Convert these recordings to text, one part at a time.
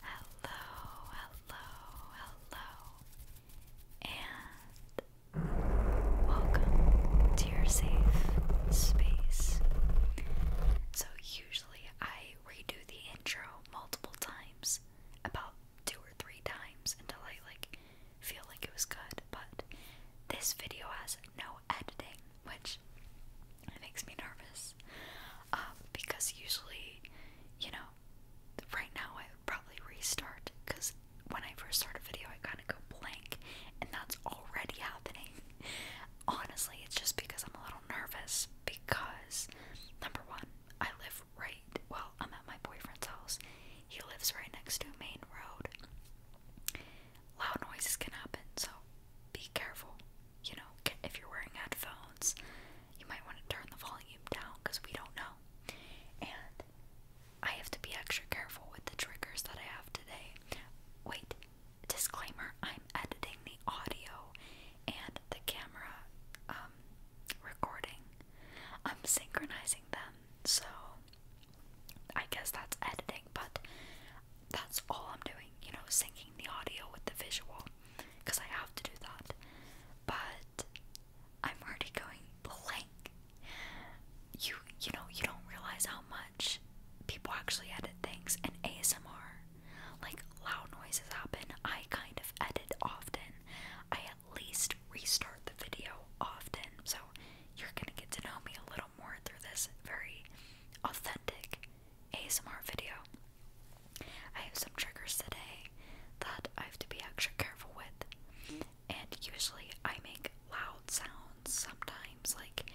Hello, hello, hello, and welcome to your safe space. So, usually I redo the intro multiple times, about two or three times, until I like feel like it was good, but this video has no editing, which makes me nervous. Um, because usually, you know, right now I would probably restart because when I first start a video, I kind of go blank, and that's already happening. Honestly, it's just because I'm a little nervous. Because, number one, I live right, well, I'm at my boyfriend's house. He lives right next to a main road loud noises can happen, so be careful. You know, if you're wearing headphones, you might want to turn the volume down because we don't know. And I have to be extra careful with the triggers that I have today. Wait, disclaimer I'm editing the audio and the camera um, recording, I'm synchronizing them, so I guess that's editing, but that's all I'm doing, you know, syncing the audio with the visual because I have to do that. But I'm already going blank. You you know, you don't realize how much people actually edit things in ASMR. Like loud noises happen. I kind of edit often. I at least restart the video often. So you're gonna get to know me a little more through this very authentic ASMR video. I have some triggers today that I have to be extra careful with, and usually I make loud sounds sometimes, like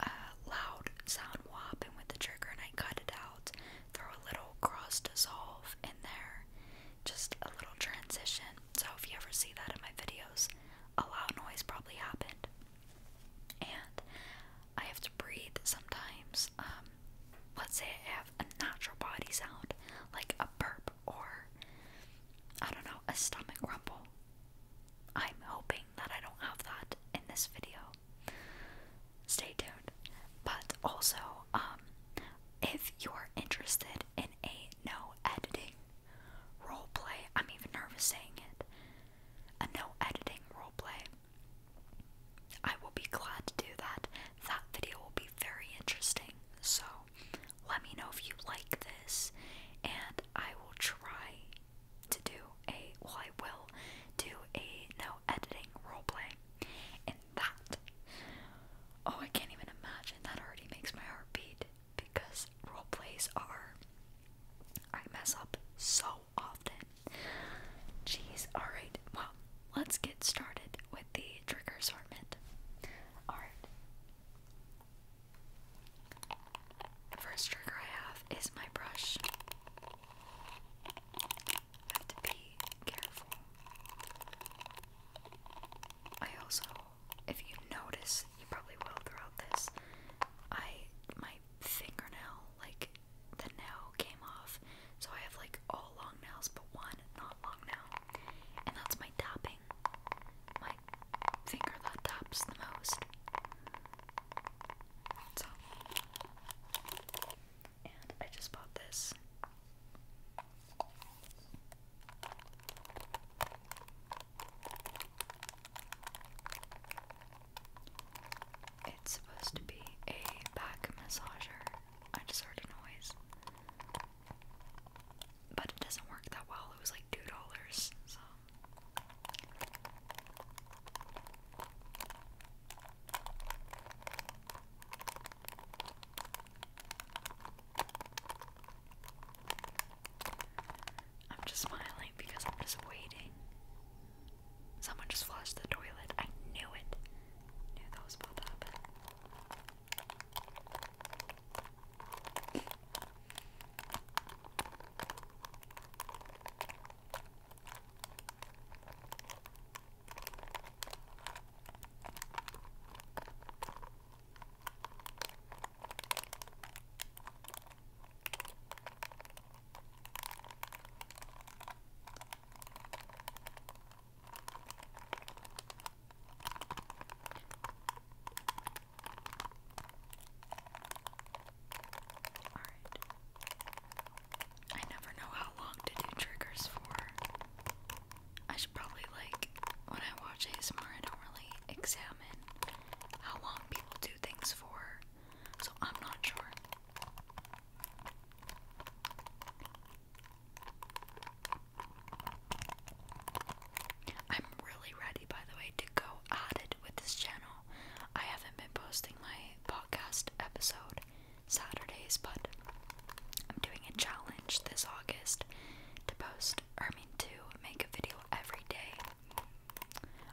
a loud sound and with the trigger, and I cut it out, throw a little cross dissolve in there, just a little transition so if you ever see that in my videos, a loud noise probably happened. And I have to breathe sometimes. Um, let's say I have a natural body sound, like a burp or I don't know, a stomach rumble. I'm hoping that I don't have that in this video. Stay tuned. But also, um, if you're interested in a no editing roleplay. I'm even nervous saying it. A no editing role play. I will be glad to do that. That video will be very interesting. So let me know if you like this, and I will try to do a well, I will do a no editing role play And that oh, I can't even imagine. That already makes my heart beat because role plays are I mess up so often. Jeez, alright, well, let's get started with the trigger assortment. Alright. The first trigger I have is my brush. have to be careful. I also if you notice, you probably will throughout this. I my fingernail, like the nail came off, so I have like all long nails but one not long nail, and that's my tapping. My finger that taps the most. So, and I just bought this. It's supposed to be a back massager. I just heard a noise. But it doesn't work that well. It was like $2, so. I'm just smiling because I'm just waiting. Someone just flushed the toilet. I knew it. Knew that was about to happen. I never know how long to do triggers for. I should probably, like, when I watch ASMR, I don't really exhale how long people do things for, so I'm not sure. I'm really ready, by the way, to go at it with this channel. I haven't been posting my podcast episode Saturdays, but I'm doing a challenge this August to post I mean, to make a video every day.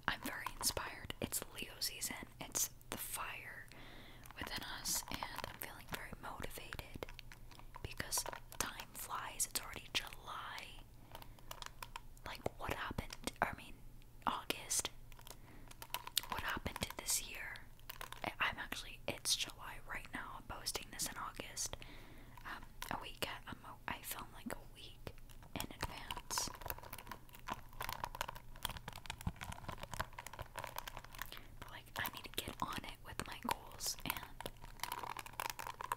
I'm very inspired. It's Leo season, it's the fire within us, and I'm feeling very motivated because time flies. It's already July. Like, what happened? I mean, August. What happened this year? I'm actually, it's July right now. I'm posting this in August. Um, a week I film like a week in advance. like I need to get on it with my goals and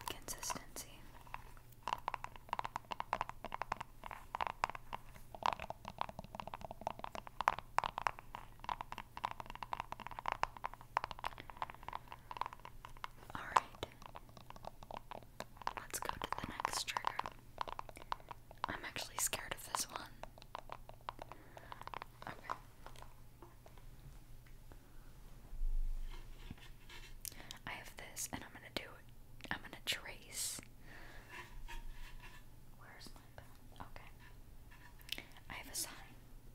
consistency. Alright. Let's go to the next trigger. I'm actually scared of this one. Okay. I have this and I'm gonna do I'm gonna trace. Where's my pen? Okay. I have a sign.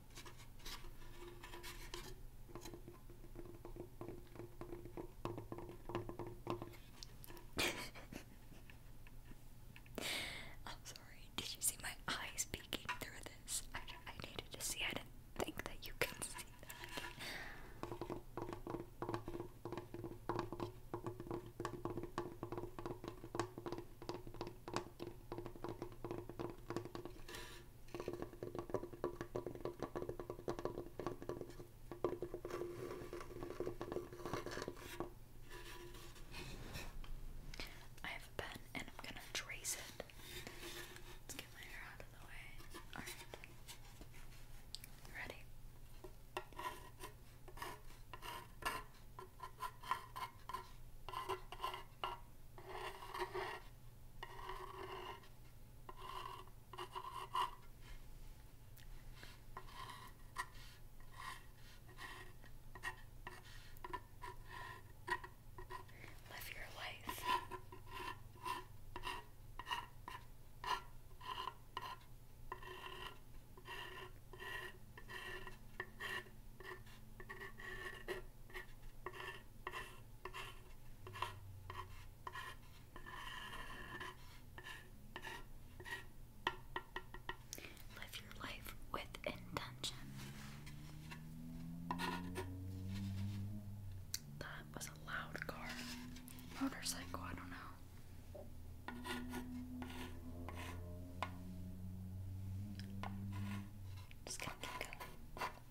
I'm sorry. Did you see my eyes peeking through this? I, needed to see. I didn't think that you could see that. I have a pen and I'm gonna trace it. Let's get my hair out of the way. Alright. Ready? Live your life. Live your life with intention. That was a loud car. Motorcycle, I don't know. Just gonna keep going. If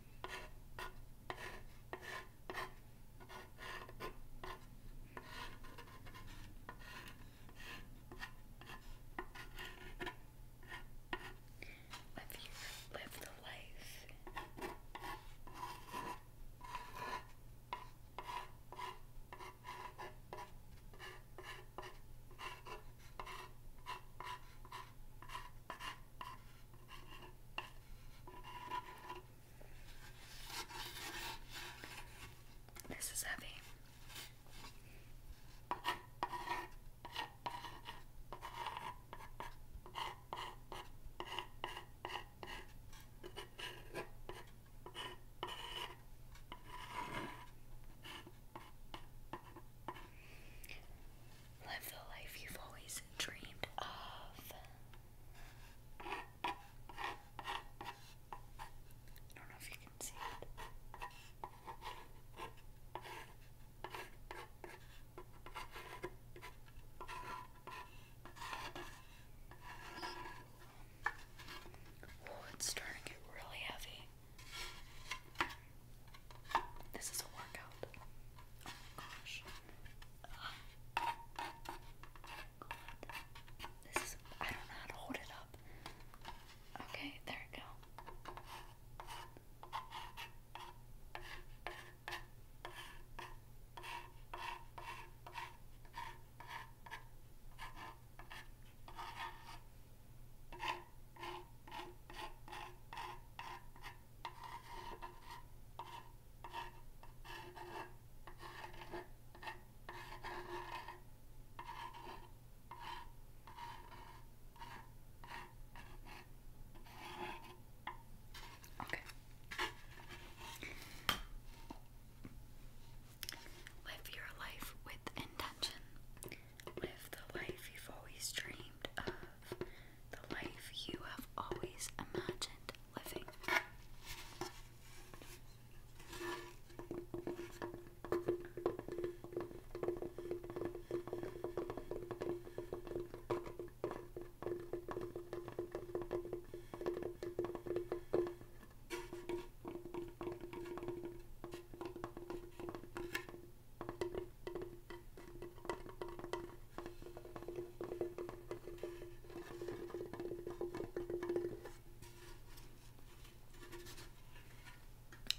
you live the life this is heavy. Live the life you've always dreamed of. I don't know if you can see it. Oh, it's starting to get really heavy. This is a workout. Oh my gosh. God. This is, I don't know how to hold it up. Okay, there we go. Okay. Live your life with intention. Live the life you've always dreamed of, the life you have always imagined living.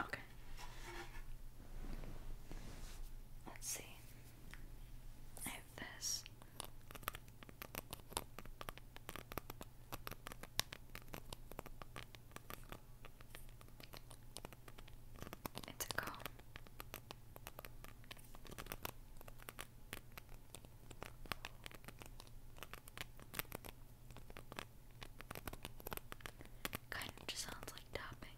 Okay. Let's see. I have this. It's a comb. Kind of just sounds like tapping.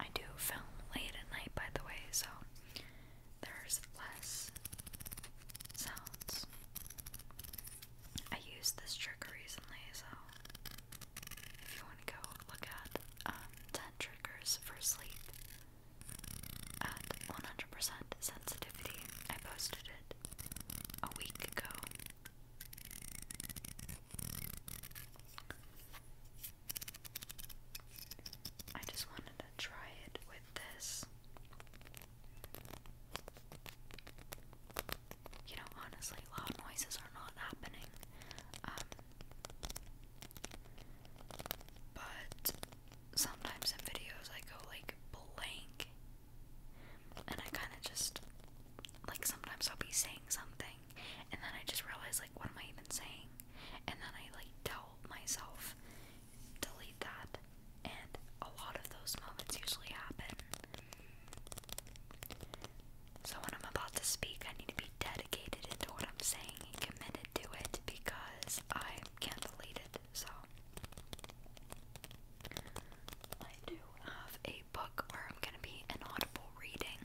I do film late at night, by the way, so there's less sounds. I used this trick recently, so if you want to go look at um, 10 triggers for sleep at 100% sensitivity, I posted it a week ago I just wanted to try it with this. You know, honestly, loud noises are not happening. Um, but sometimes in videos I go like blank. And I kind of just, like, sometimes I'll be saying something and then I just realize, like what am I even saying? And then I like tell myself delete that and a lot of those moments usually happen. So when I'm about to speak I need to be dedicated into what I'm saying committed to it because I can't delete it, so might do have a book where I'm gonna be inaudible reading.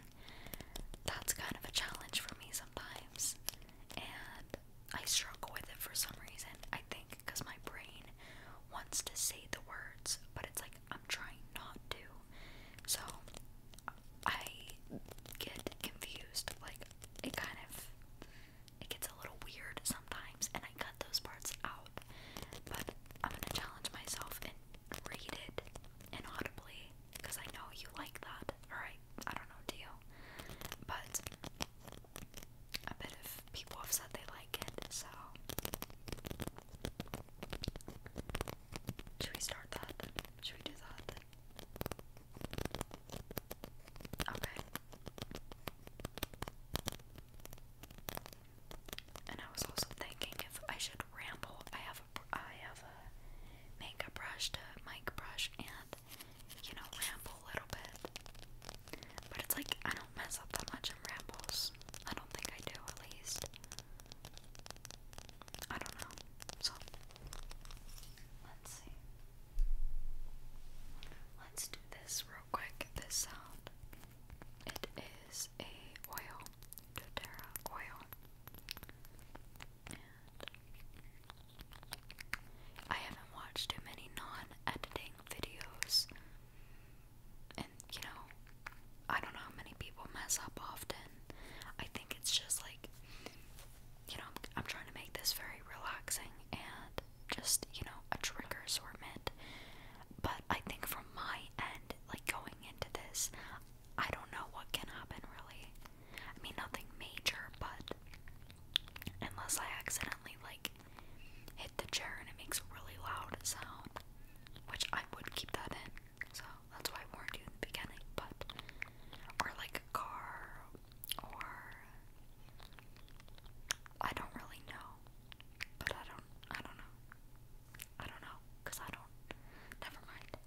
That's kind of a challenge for me sometimes, and I struggle with it for some reason. I think because my brain wants to say the words, but it's like I'm trying not to, so I get confused. Like it kind of it gets a little weird sometimes, and I cut those parts out. But I'm gonna challenge myself and read it inaudibly because I know you like that, or I don't know, do you? But I bet if people have said they like it, so. Should we start that? Should we do that? Okay. And I was also thinking if I should ramble. I have a I have a makeup brush to mic brush and you know ramble a little bit. But it's like I don't mess up that much in rambles. I don't think I do at least. I don't know. So let's see. Let's do this real quick. This sound. It is a oil doTERRA oil. I haven't watched too many non editing videos. And you know, I don't know how many people mess up often. I think it's just like, you know, I'm, I'm trying to make this very relaxing and just, you know, a trigger assortment. But I think from my end, like going into this, I don't know what can happen really. I mean, nothing major, but unless I accidentally like hit the chair and it makes a really loud sound, which I would keep that in. So that's why I warned you in the beginning. But or like a car, or I don't really know, but I don't, I don't know. I don't know, cause I don't. Never mind.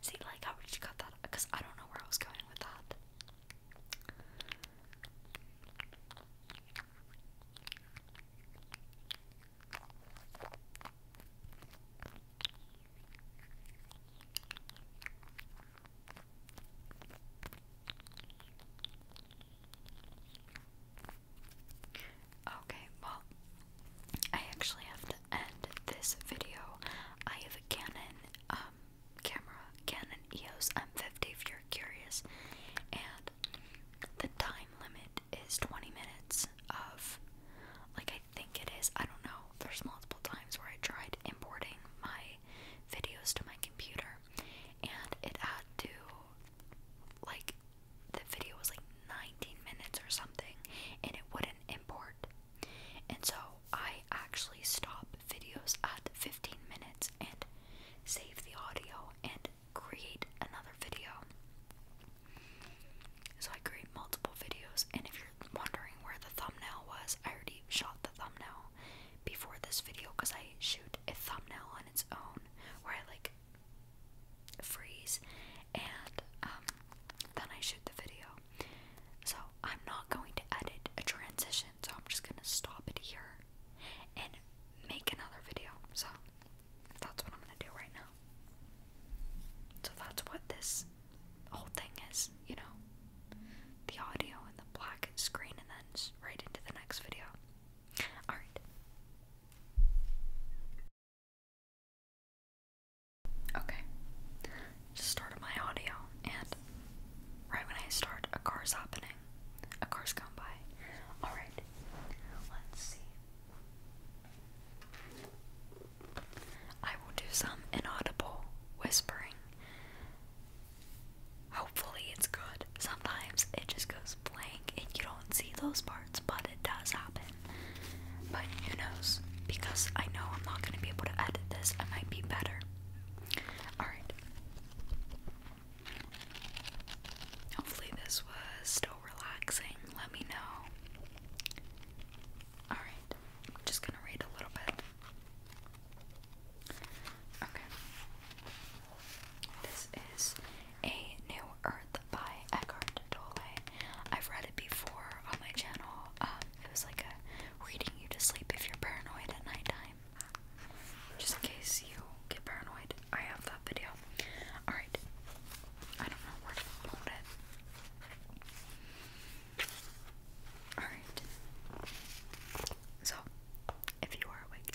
See, like, how would you cut that? Cause I don't know where I was going with that. Okay, well, I actually have to end this video. I have a Canon um, camera, Canon EOS M50 if you're curious, and the time limit is 20 minutes of, like, I think it is, I don't know, there's multiple times where I tried importing my videos to my computer, and it had to, like, the video was like 19 minutes or something and it wouldn't import. And so I actually stop videos at 15 minutes and save the audio and create another video. So I create multiple videos and if you're wondering where the thumbnail was, I already shot the thumbnail before this video because I shoot a thumbnail on its own where I like freeze, and um, then I shoot the video. So I'm not going to edit a transition, so I'm just gonna stop it here and make another video. So that's what I'm gonna do right now. So that's what this whole thing is, you know, the audio and the black screen, and then right into the next video. Alright, Okay. Just started my audio, and right when I start, a car's happening. A car's gone by. Alright, let's see. I will do some inaudible whispering. Hopefully, it's good sometimes it just goes blank and you don't see those parts, but it does happen. But who knows? Because I know I'm not going to be able to edit this, I might be better. Alright. Hopefully, this was still relaxing. Let me know. Alright, I'm just gonna read a little bit. Okay. This is A New Earth by Eckhart Tolle. I've read it before on my channel. Um, it was like reading you to sleep if you're paranoid at nighttime. Just in case you get paranoid, I have that video. Alright. I don't know where to upload it. Alright. So, if you are awake,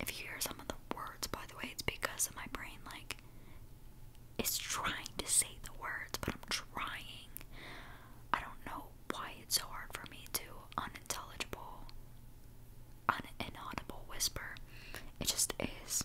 If you hear some of the words, by the way, it's because of my brain, like, it's trying to say the words, but I'm trying. I don't know why it's so hard for me to unintelligible, uninaudible whisper. It just is.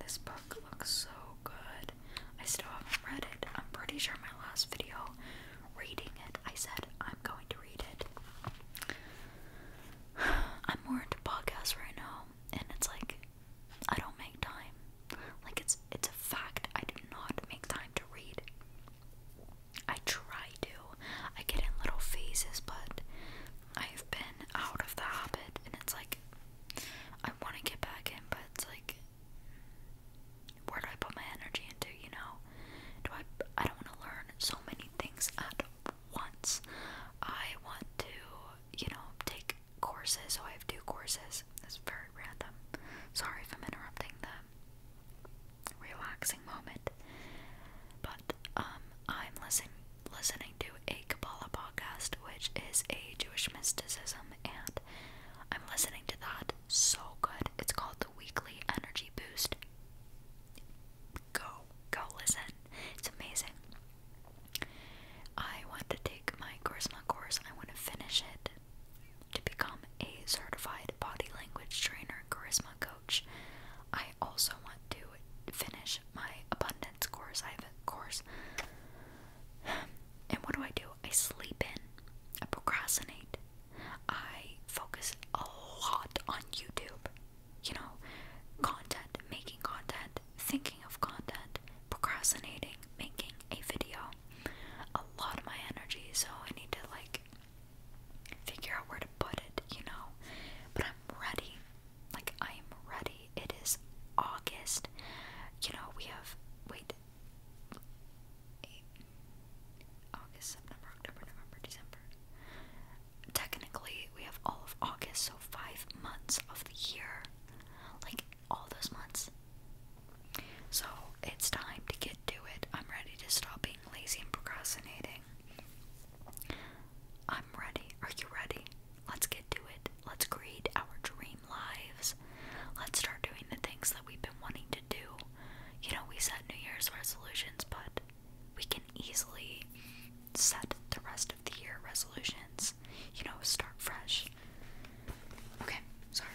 This book looks so good. I still haven't read it. I'm pretty sure my last video reading it, I said I'm going to read it. I'm more into podcasts right now, and it's like I don't make time. Like it's it's a fact. I do not make time to read. I try to. I get in little phases, but I've been out of the habit, and it's like I want to get back in, but it's like where do I put my energy into? You know, do I? I don't want to learn so many things at once. I want to, you know, take courses. So I have two courses. That's very random. Sorry if I'm interrupting the relaxing moment. But um, I'm listening listening to a Kabbalah podcast, which is a Jewish mysticism, and I'm listening to that. So good. It's called the Weekly Energy Boost go, go listen. It's amazing. I want to take my charisma course. I want to finish it to become a certified body language trainer, charisma coach. I also want to finish my abundance course. I have a course. And what do I do? I sleep in. I procrastinate. I focus a lot on YouTube. You know, content, making content, thinking of content, procrastinating, making a video. A lot of my energy, so I need to like figure out where to put it, you know. But I'm ready. Like I am ready. It is August. You know, we have wait August, September, October, November, December. Technically, we have all of August, so five months of the year. Like, all those months. So, it's time to get to it. I'm ready to stop being lazy and procrastinating. I'm ready. Are you ready? Let's get to it. Let's create our dream lives. Let's start doing the things that we've been wanting to do. You know, we set New Year's resolutions, but we can easily set the rest of the year resolutions. You know, start fresh. Okay, sorry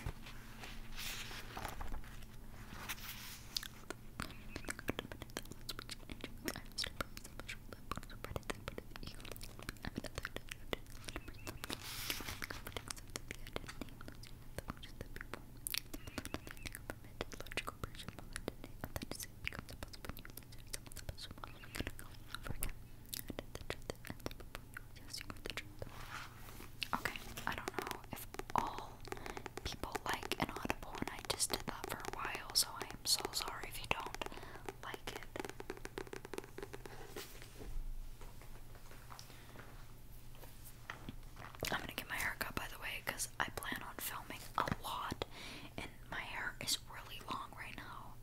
compression you Okay, I don't know if all people like Inaudible, and I just did that for a while, so I am so sorry if you don't like it. I'm gonna get my hair cut by the way because I plan on filming a lot and my hair is really long right now.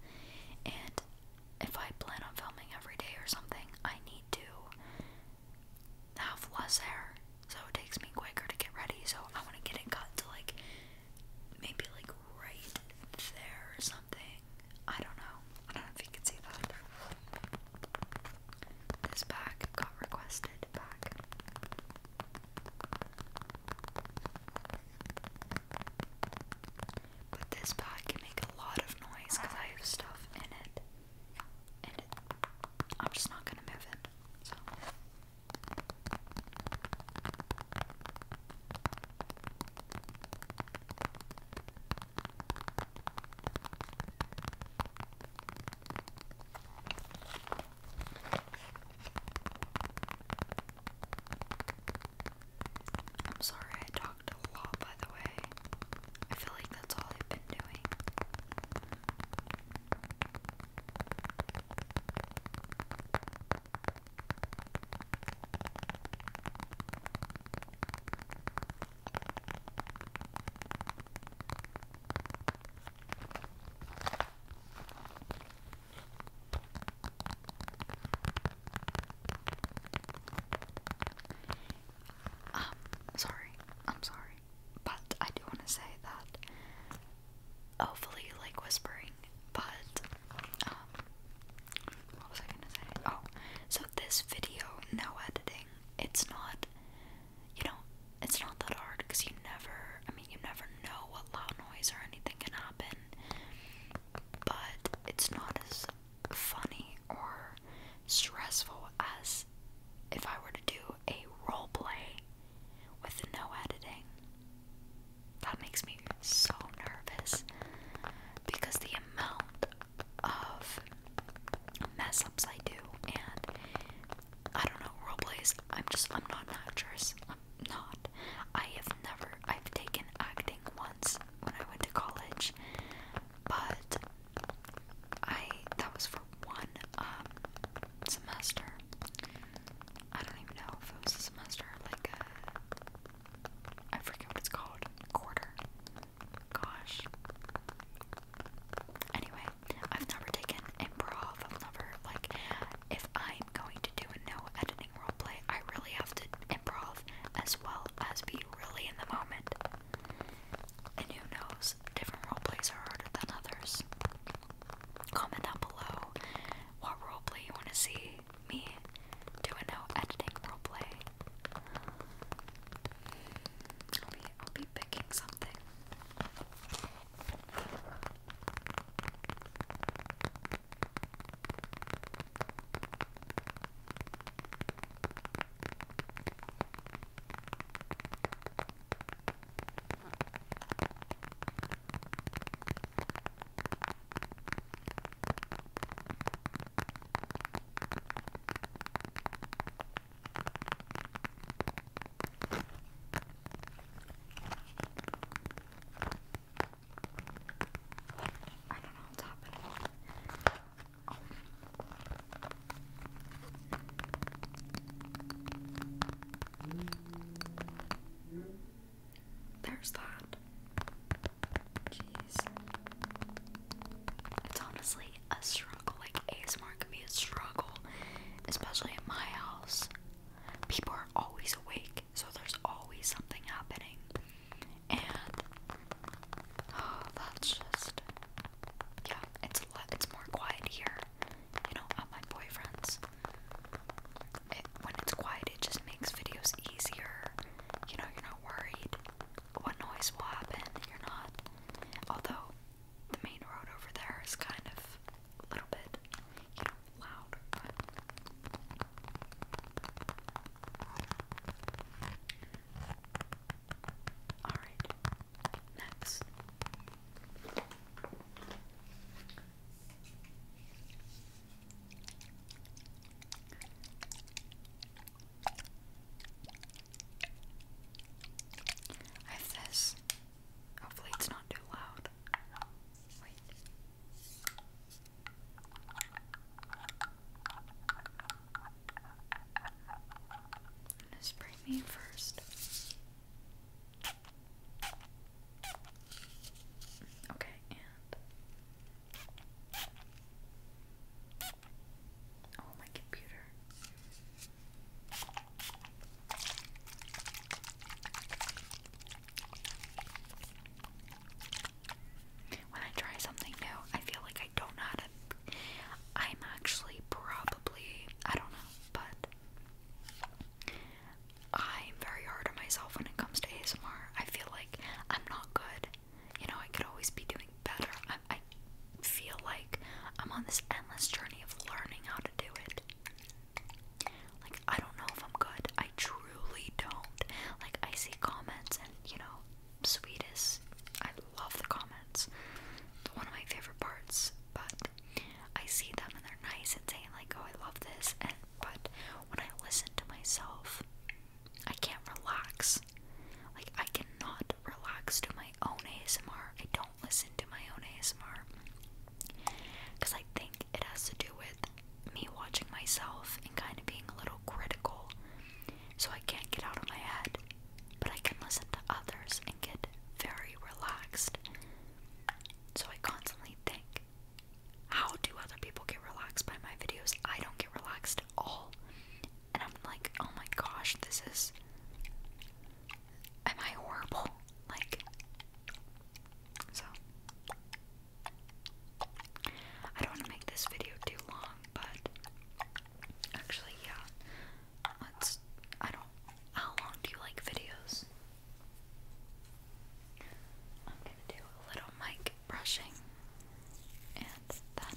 And if I plan on filming every day or something, I need to have less hair. So it takes me quicker to get ready. So I want to get it cut to like maybe like right there or something. I don't know. I don't know if you can see that. This pack got requested back. But this pack can make a lot of noise because I have stuff in it. And I'm just not gonna move it. I'm sorry I talked a lot, by the way. I feel like that's all I've been doing. Um, sorry, I'm sorry, but I do want to say that hopefully you like whispering, but um, what was I gonna say? Oh, so this video, no editing, it's not you know, it's not that hard because you never, I mean, you never know what loud noise or anything can happen, but it's not as funny or stressful as if I were to do a role play with no editing. That makes me so nervous because the amount of mess ups I do and I don't know, role plays. I'm just, I'm not an actress. I'm not. I have never, I've taken acting once when I went to college, but I, that was for one um, semester. I don't even know if it was a semester, like a, I forget what it's called, quarter. Gosh, Anyway, I've never taken improv. I've never like if I'm going to do no editing role I really have to improv as well as be really in the moment. And who knows, different role are harder than others. Comment down below what role you want to see me do no editing role I'll be, I'll be picking something. I don't know what's happening. There's that. Jeez. It's honestly a struggle. Like ASMR can be a struggle, especially in my house. People are always awake, so there's always something happening. And oh, that's just yeah, it's a lot. It's more quiet here, you know, at my boyfriend's. when it's quiet, it just makes videos easier. You know, you're not worried what noise will happen. You're not. Although the main road over there is kind of a little bit, you know, loud. But Alright, next. I have this. Hopefully, it's not too loud. Wait. spray me first. Okay, and Oh, my computer. When I try something new, I feel like I don't know how to. I'm actually probably, I don't know, but I'm very hard on myself when it comes to ASMR. I feel like I'm not good. You know, I could always be doing better. I, I feel like I'm on this endless journey of learning how to do it. Like, I don't know if I'm good. I truly don't. Like, I see comments, and you know, sweetest. I love the comments. It's one of my favorite parts. But I see them, and they're nice and saying like, "Oh, I love this." And but when I listen to myself, I can't relax. Like, I cannot relax to my own ASMR. I don't listen to my own ASMR because I think it has to do with me watching myself and kind of being a little critical. So I can't get out of my head, but I can listen to others and get very relaxed. So I constantly think, how do other people get relaxed by my videos? I don't get relaxed at all and I'm like, oh my gosh, this is. Am I horrible? Like. So. I don't want to make this video too long, but. Actually, yeah. Let's. I don't. How long do you like videos? I'm gonna do a little mic brushing and then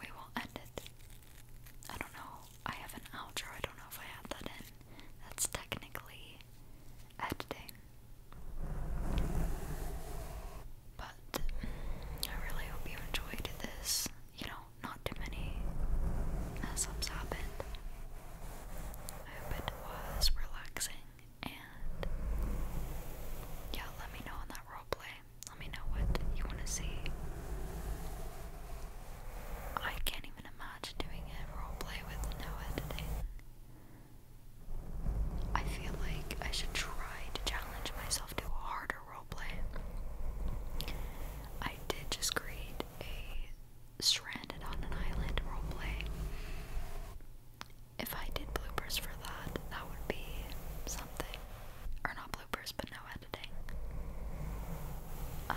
we will end it. I don't know. I have an outro. I don't know if I had that in. That's technically editing. But I really hope you enjoyed this. You know, not too many mess ups happened. I hope it was relaxing. And yeah, let me know on that roleplay let me know what you want to see. I can't even imagine doing a roleplay with no editing. I feel like I should try to challenge myself to a harder roleplay. I did just create a stranded on an island roleplay. If I did bloopers for that, that would be something. Or not bloopers but no editing. Um,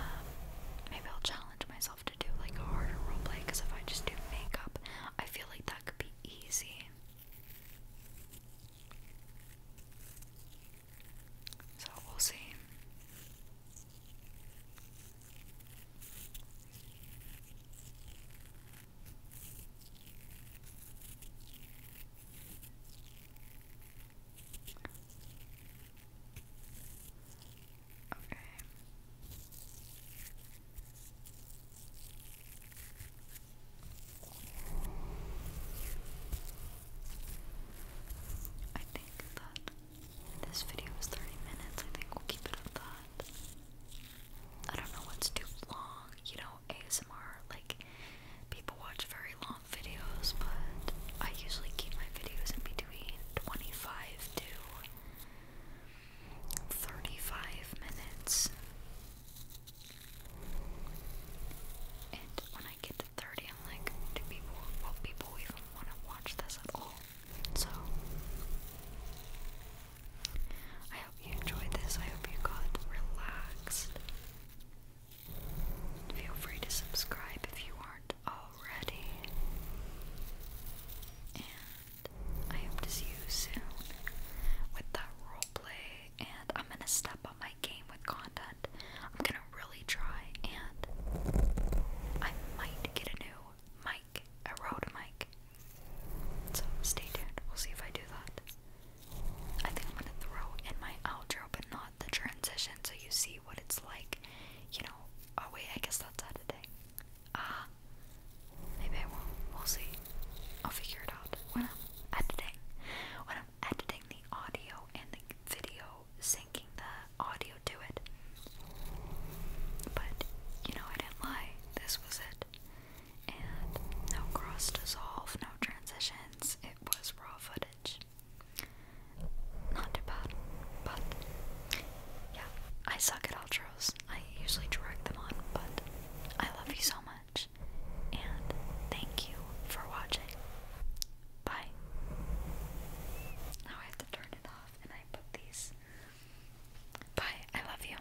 maybe I'll challenge myself to do like a harder roleplay because if I just do makeup, I feel like that could be easy. So we'll see. Okay. I think that this video is 30 minutes. I think we'll keep it at that. I don't know what's too long, you know, ASMR, like people watch very long videos, but I usually keep my videos in between 25 to 35 minutes. And when I get to 30, I'm like, do people, will people even want to watch this at all? So, I hope you enjoyed this. I hope you got relaxed. Feel free to subscribe if you aren't already. And I hope to see you soon with that roleplay. And I'm gonna step up my game with content. I'm gonna really try, and I might get a new mic, a Rode mic. So stay tuned. We'll see if I do that. I think I'm gonna throw in my outro, but not the transition, so you see what it's like. You know, oh wait, I guess that's editing. Ah, maybe I will We'll see. I'll figure it out when I'm editing. When I'm editing the audio and the video, syncing the audio to it. But you know, I didn't lie. This was it. And no cross dissolve, no transition, it was raw footage. Not too bad, but yeah, I suck at outros. I usually direct them on, but I love you so much, and thank you for watching. Bye. Now I have to turn it off, and I put these. Bye. I love you.